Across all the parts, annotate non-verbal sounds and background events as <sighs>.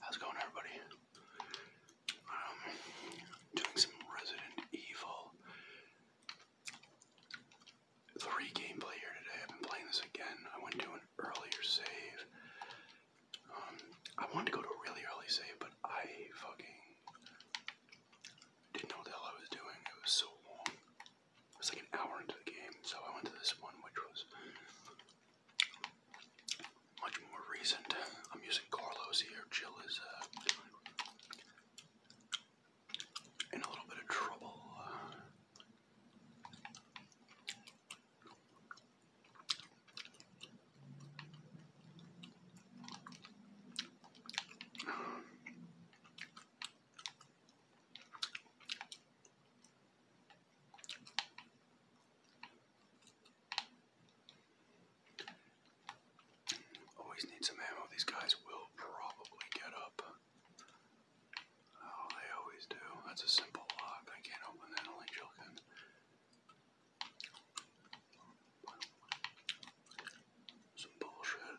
How's it going, everybody? Um, doing some Resident Evil 3 gameplay here today. I've been playing this again. I went to an earlier save. Um, I wanted to go to a really early save, but I fucking didn't know what the hell I was doing. It was so long. It was like an hour into the game, so I went to this one, which was much more recent. I'm using Carlos here. Jill is uh, in a little bit of trouble. Always need some ammo. These guys will probably get up. Oh, they always do. That's a simple lock. I can't open that, only Jill can. Some bullshit.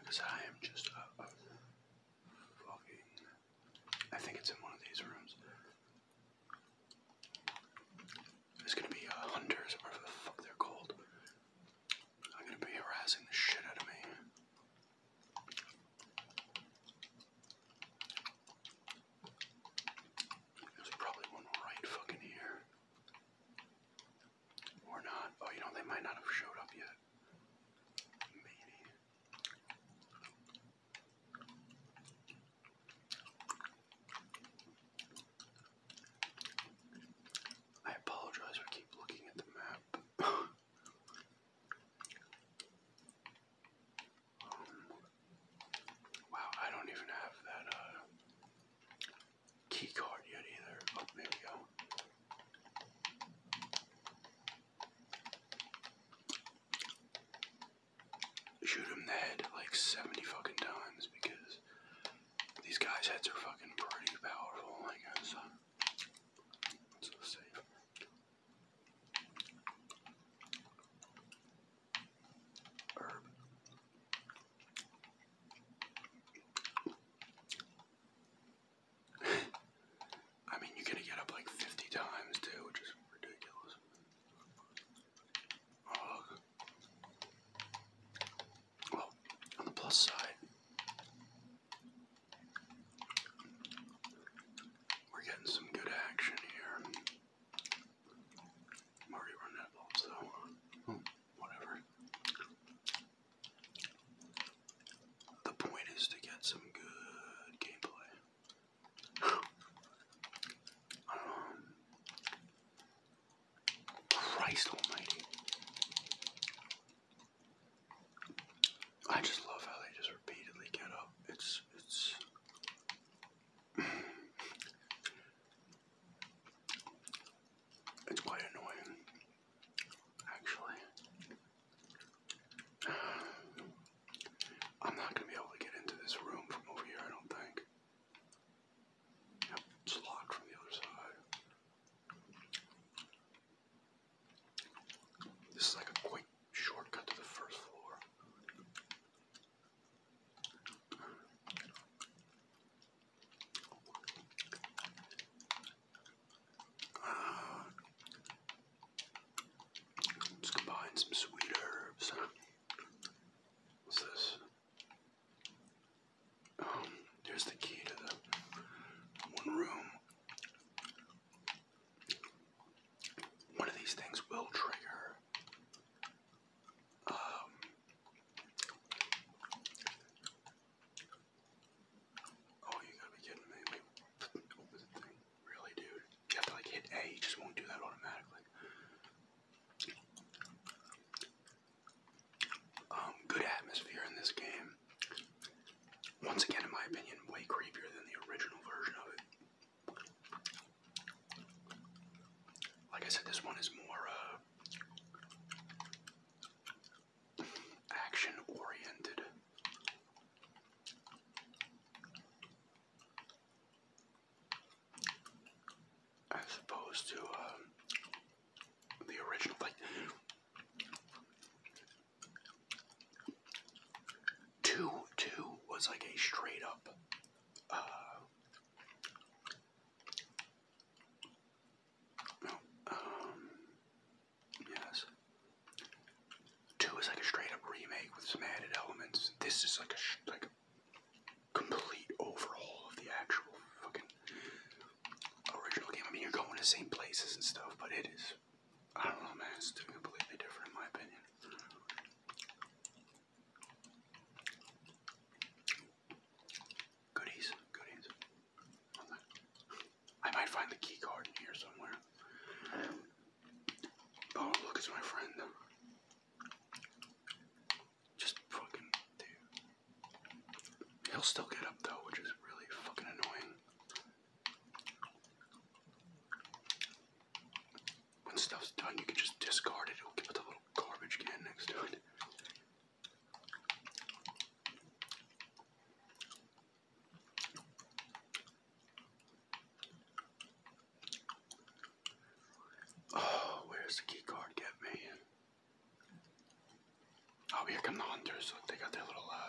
Because I am just a, fucking. I think it's in one of these rooms. There's gonna be hunters whatever the fuck they're called. I'm gonna be harassing the shit out of me. There's probably one right fucking here. Or not. Oh, you know, they might not have showed up yet. Maybe. I apologize I keep looking at the map. <laughs> Um, wow, I don't even have that uh, key card yet either. Oh, there we go. Shoot him in the head like 70 fucking times because these guys' heads are fucking pretty powerful, I guess. let so save. Herb. I mean, you're gonna get up like 50 times too, which is ridiculous. Oh. on the plus side, we're getting some good action here. I'm already running out of balls, though. Hmm, oh, whatever. The point is to get some good gameplay. Um, Christ Almighty! I just love how they just repeatedly get up. It's it's. It's quite annoying, actually. I'm not going to be able to get into this room from over here, I don't think. Yep, it's locked from the other side. This is like a quick shortcut to the first floor. Uh, let's combine some sweet herbs. What's this? Um, here's the key to the one room. One of these things will trigger um, Oh, you gotta be kidding me. Really, dude? You have to like hit A, you just won't do that automatically. Um, good atmosphere in this game. Once again, in my opinion, way creepier than the original version of it. Like I said, this one is more uh, action oriented. As opposed to um, the original, like two two was like a straight up uh, um, yes. Two is like a straight up remake with some added elements. This is like a like complete overhaul of the actual fucking original game. I mean, you're going to the same places and stuff, but it is. I don't know, man. It's completely different in my opinion. Goodies, goodies. I might find the key card here somewhere. Oh, look, it's my friend. Just fucking, He'll still get up though, which is really fucking annoying. When stuff's done, you can just discard it. It'll give it a little garbage can next to it. Oh, where's the key card? Oh, here come the hunters. Look, they got their little uh,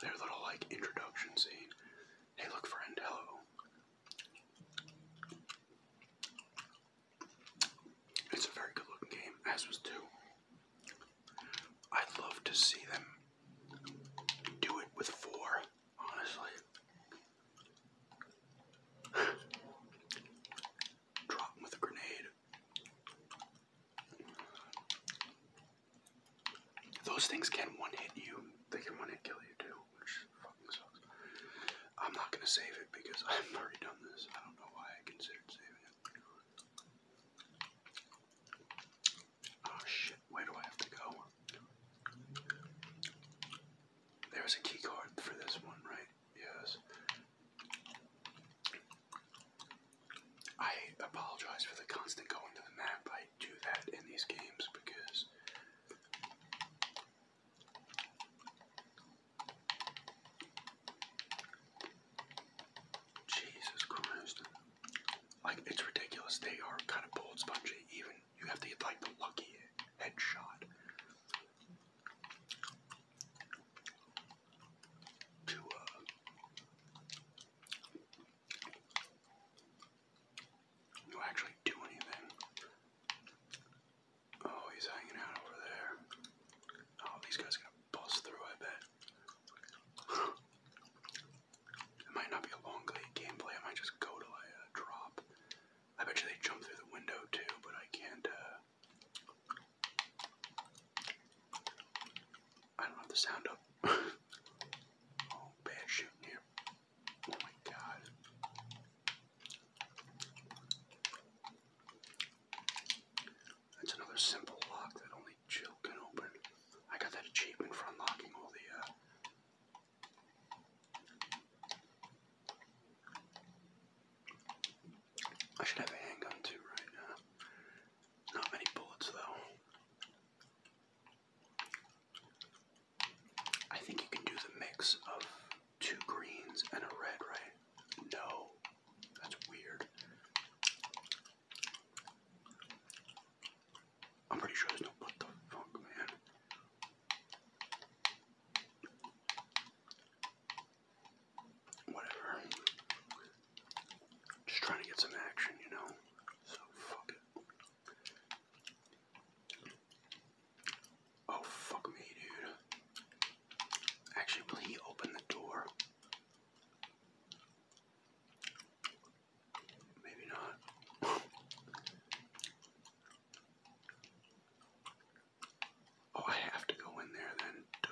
their little like introduction scene. Hey, look, friend, hello. It's a very good looking game, as was 2. I'd love to see them do it with 4, honestly. <sighs> Drop with a grenade. Those things can one hit you. They can one hit kill you too, which fucking sucks. I'm not gonna save it because <laughs> I've already done this. I don't know why I considered saving it. Oh shit, where do I have to go? There's a key card for this one, right? Yes. I apologize for the constant going to the map. I do that in these games because Jesus Christ. Like it's ridiculous. They are kind of bold spongy. Even you have to like the lucky headshot. To uh, no, actually do anything. Oh, he's hanging out over there. Oh, these guys are going through, I bet. it might not be a long gameplay, I might just go till I uh, drop. I bet you they jump through the window too, but I can't, uh, I don't have the sound up. <laughs> oh, bad shooting here. Oh my god. That's another simple lock that only Jill can open. I got that achievement for unlocking all the uh, I should have a handgun too right now. Not many bullets though. I think you can do the mix of two greens and a red, right? No. That's weird. I'm pretty sure there's no what the fuck, man whatever. Just trying to get some action, you know? So fuck it. Oh fuck me, dude. Actually, will he open the door? Maybe not. <laughs> oh, I have to go in there then. Duh.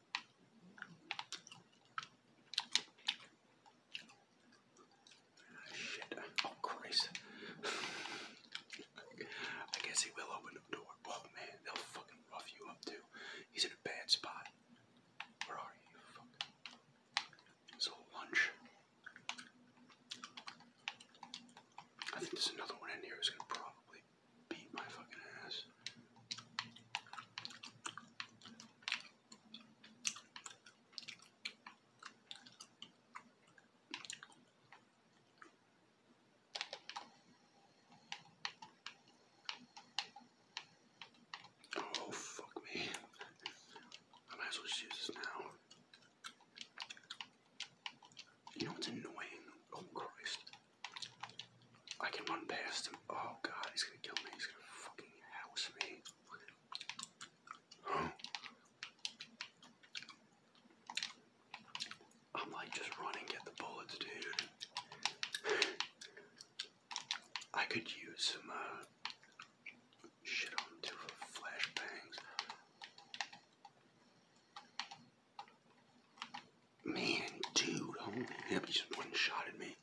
Shit. Oh, Christ. I guess he will open the door. Oh, man, they'll fucking rough you up, too. He's in a bad spot. Where are you? So, lunch. I think there's another one in here who's gonna probably beat my fucking ass. Oh, fuck me. I might as well just now. You know what's annoying? Oh, Christ. I can run past him. Oh god, he's gonna kill me. He's gonna fucking house me. <gasps> I'm like just running, get the bullets, dude. I could use some uh, shit on two flashbangs. Man, dude, holy yeah, he just one shot at me.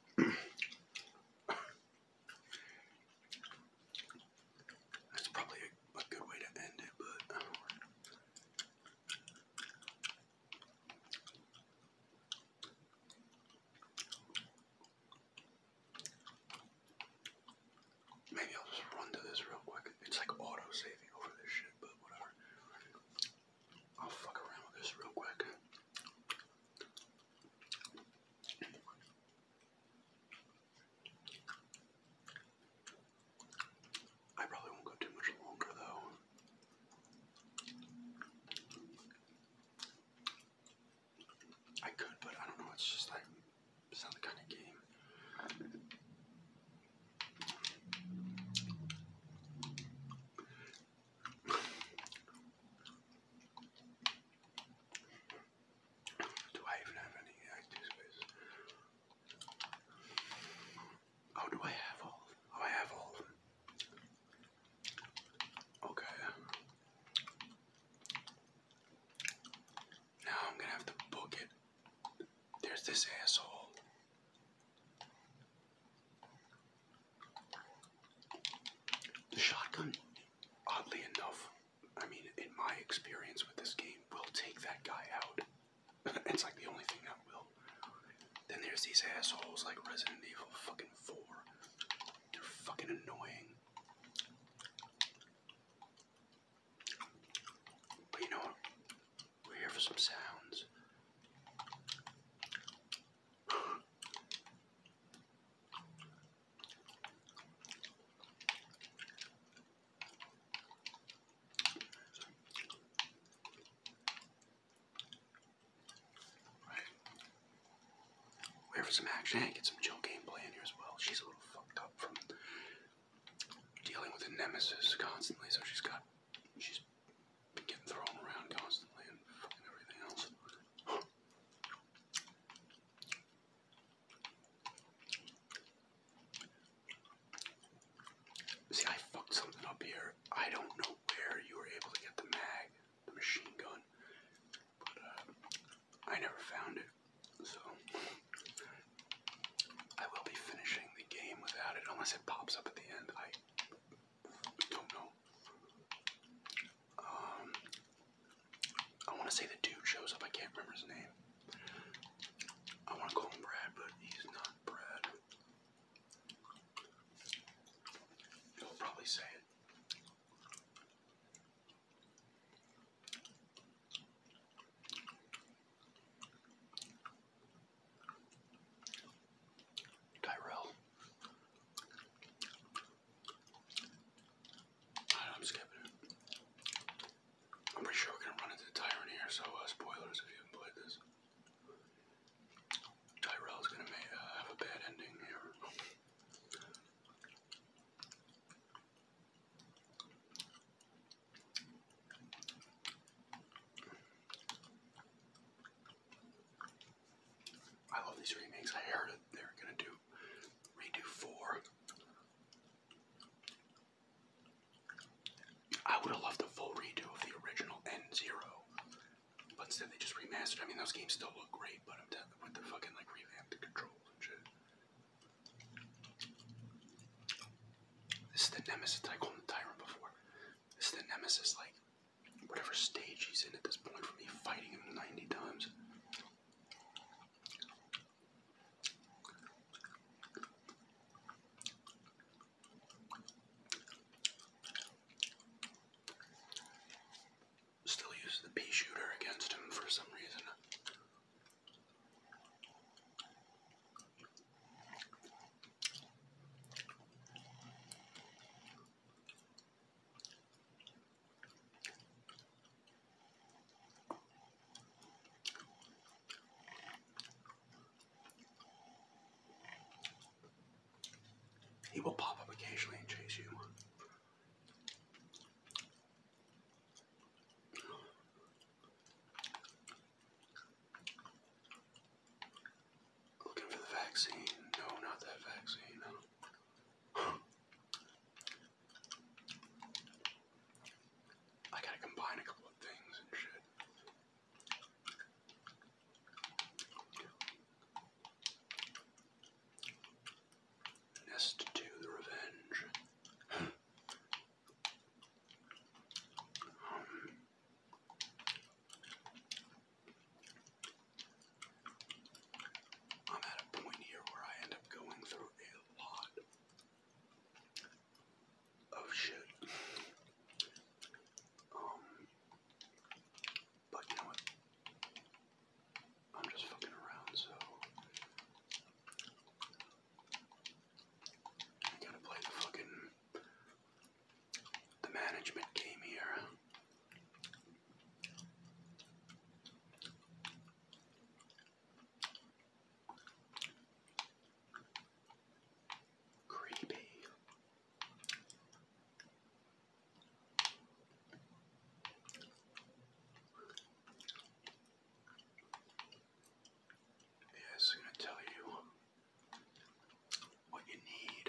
That's probably a, good way to end it, but Maybe I'll just run to this real quick. It's like auto saving over this shit, but whatever. I'll fuck around with this real quick. I probably won't go too much longer though. I could, but I don't know. It's just like it's not the kind of game do I even have any active Oh, do I have all? Oh, I have all. Okay. Now I'm gonna have to book it there's this asshole. The shotgun, oddly enough, I mean, in my experience with this game, will take that guy out. <laughs> it's like the only thing that will. Then there's these assholes like Resident Evil fucking 4. They're fucking annoying you know We're here for some sounds. Right. We're here for some action. get some chill gameplay in here as well. She's a little fucked up from dealing with a nemesis constantly, so she's got she's been getting thrown around constantly and, everything else. See, I fucked something up here. I don't know where you were able to get the mag, the machine gun, but uh, I never found it. So I will be finishing the game without it unless it pops up at the end. I don't know. Um, I want to say the dude shows up. I can't remember his name. I want to call him Brad, but he's not Brad. He'll probably say it. Tyrell. I'm skipping. I'm pretty sure we're gonna run into the Tyrant here, so uh, spoilers if you have played this. Tyrell's gonna uh, have a bad ending here. I love these remakes. I heard they're gonna do redo four. I would have loved a full redo of the original N Zero, but instead they just remastered. I mean, those games still look great, but I'm with the fucking like revamped controls and shit. This is the nemesis that I called the before. This is the nemesis, like whatever stage he's in at this point for me, fighting him 90 times. Still uses the pea shooter against him for some reason. He will pop up occasionally and chase you. Looking for the vaccine. No, not that vaccine. I gotta combine a couple of things and shit. Nest 2, The Revenge. I'm at a point here where I end up going through a lot of shit. Um, but you know what? I'm just fucking around, so I gotta play the fucking the management game here. Creepy. It's going to tell you what you need.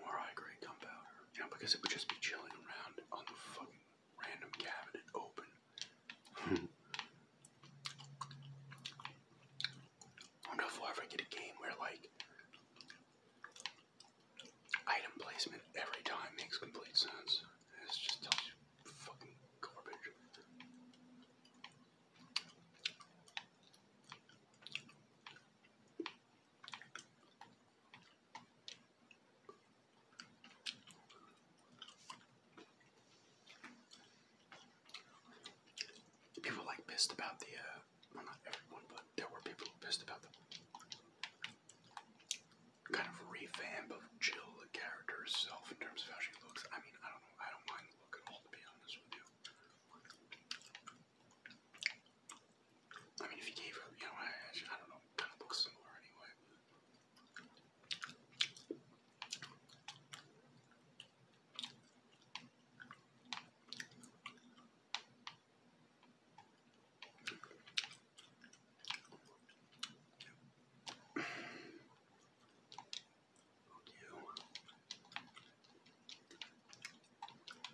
More high grade gunpowder. You know, because it would just be chilling around on the fucking random cabinet open. <laughs> wonder if we ever get a game where, like, Item placement every time makes complete sense. This just tells you fucking garbage. People like pissed about the, uh, well, not everyone, but there were people pissed about the kind of revamp of Jill, the character herself, in terms of how she looks. I mean, I don't know. I don't mind the look at all, to be honest with you. I mean, if you gave her, you know, I, don't know, kind of looks similar anyway.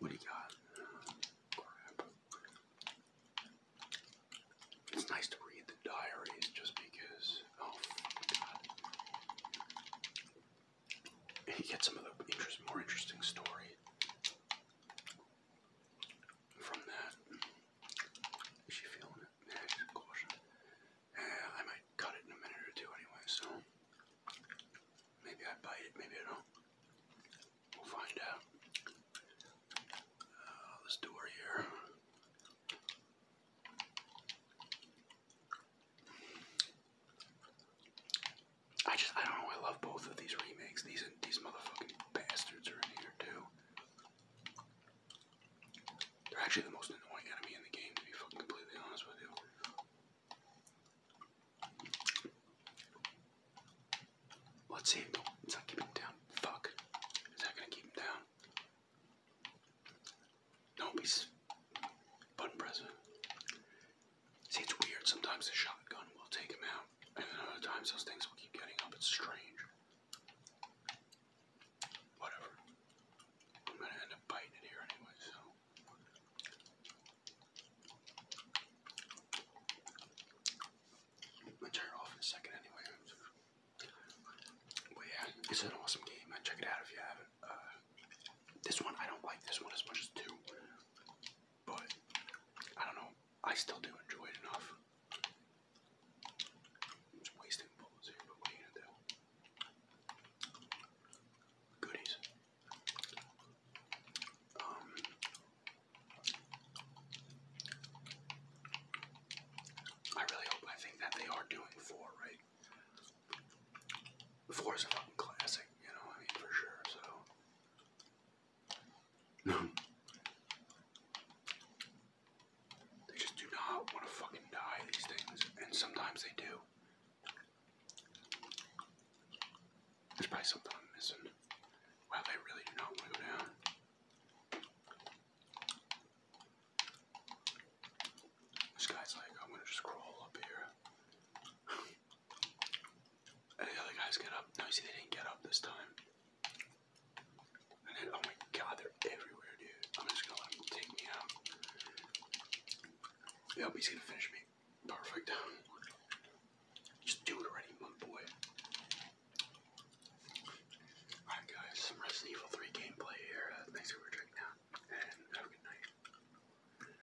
What do you got? Crap. It's nice to read the diaries just because. Oh, God. <laughs> You get some of the more interesting story from that. Is she feeling it? Yeah, she's cautious. Yeah, I might cut it in a minute or two anyway, so maybe I bite it, maybe I don't. We'll find out. Uh, this door here. I just I don't know. I love both of these remakes. These these motherfucking bastards are in here too. They're actually the most annoying enemy in the game, to be fucking completely honest with you. Let's see. No, it's not keeping him down. Fuck. Is that gonna keep him down? no he's button pressing. See, it's weird. Sometimes the shotgun will take him out, and then other times those things will keep getting up. It's strange. Whatever. I'm gonna end up biting it here anyway, so. turn it off in a second anyway. But yeah, it's an awesome game, Check it out if you haven't. Uh, this one, I don't like this one as much as two. But I don't know. I still do enjoy it enough. just wasting bullets here, but what are you gonna do? Goodies. Um. I really hope I think that they are doing four, right? Four is a fucking classic, you know, I mean, for sure, so. No. They just do not want to fucking die, these things. And sometimes they do. There's probably something I'm missing. Wow, they really do not want to go down. This guy's like, I'm gonna just crawl up here. <laughs> the other guys get up. No, see, they didn't get up this time. And then, oh my god, they're everywhere, dude. I'm just gonna let him take me out. Yep, gonna finish me. Perfect. Just do it already, my boy. Alright, guys, some Resident Evil 3 gameplay here. thanks for checking out, and have a good night.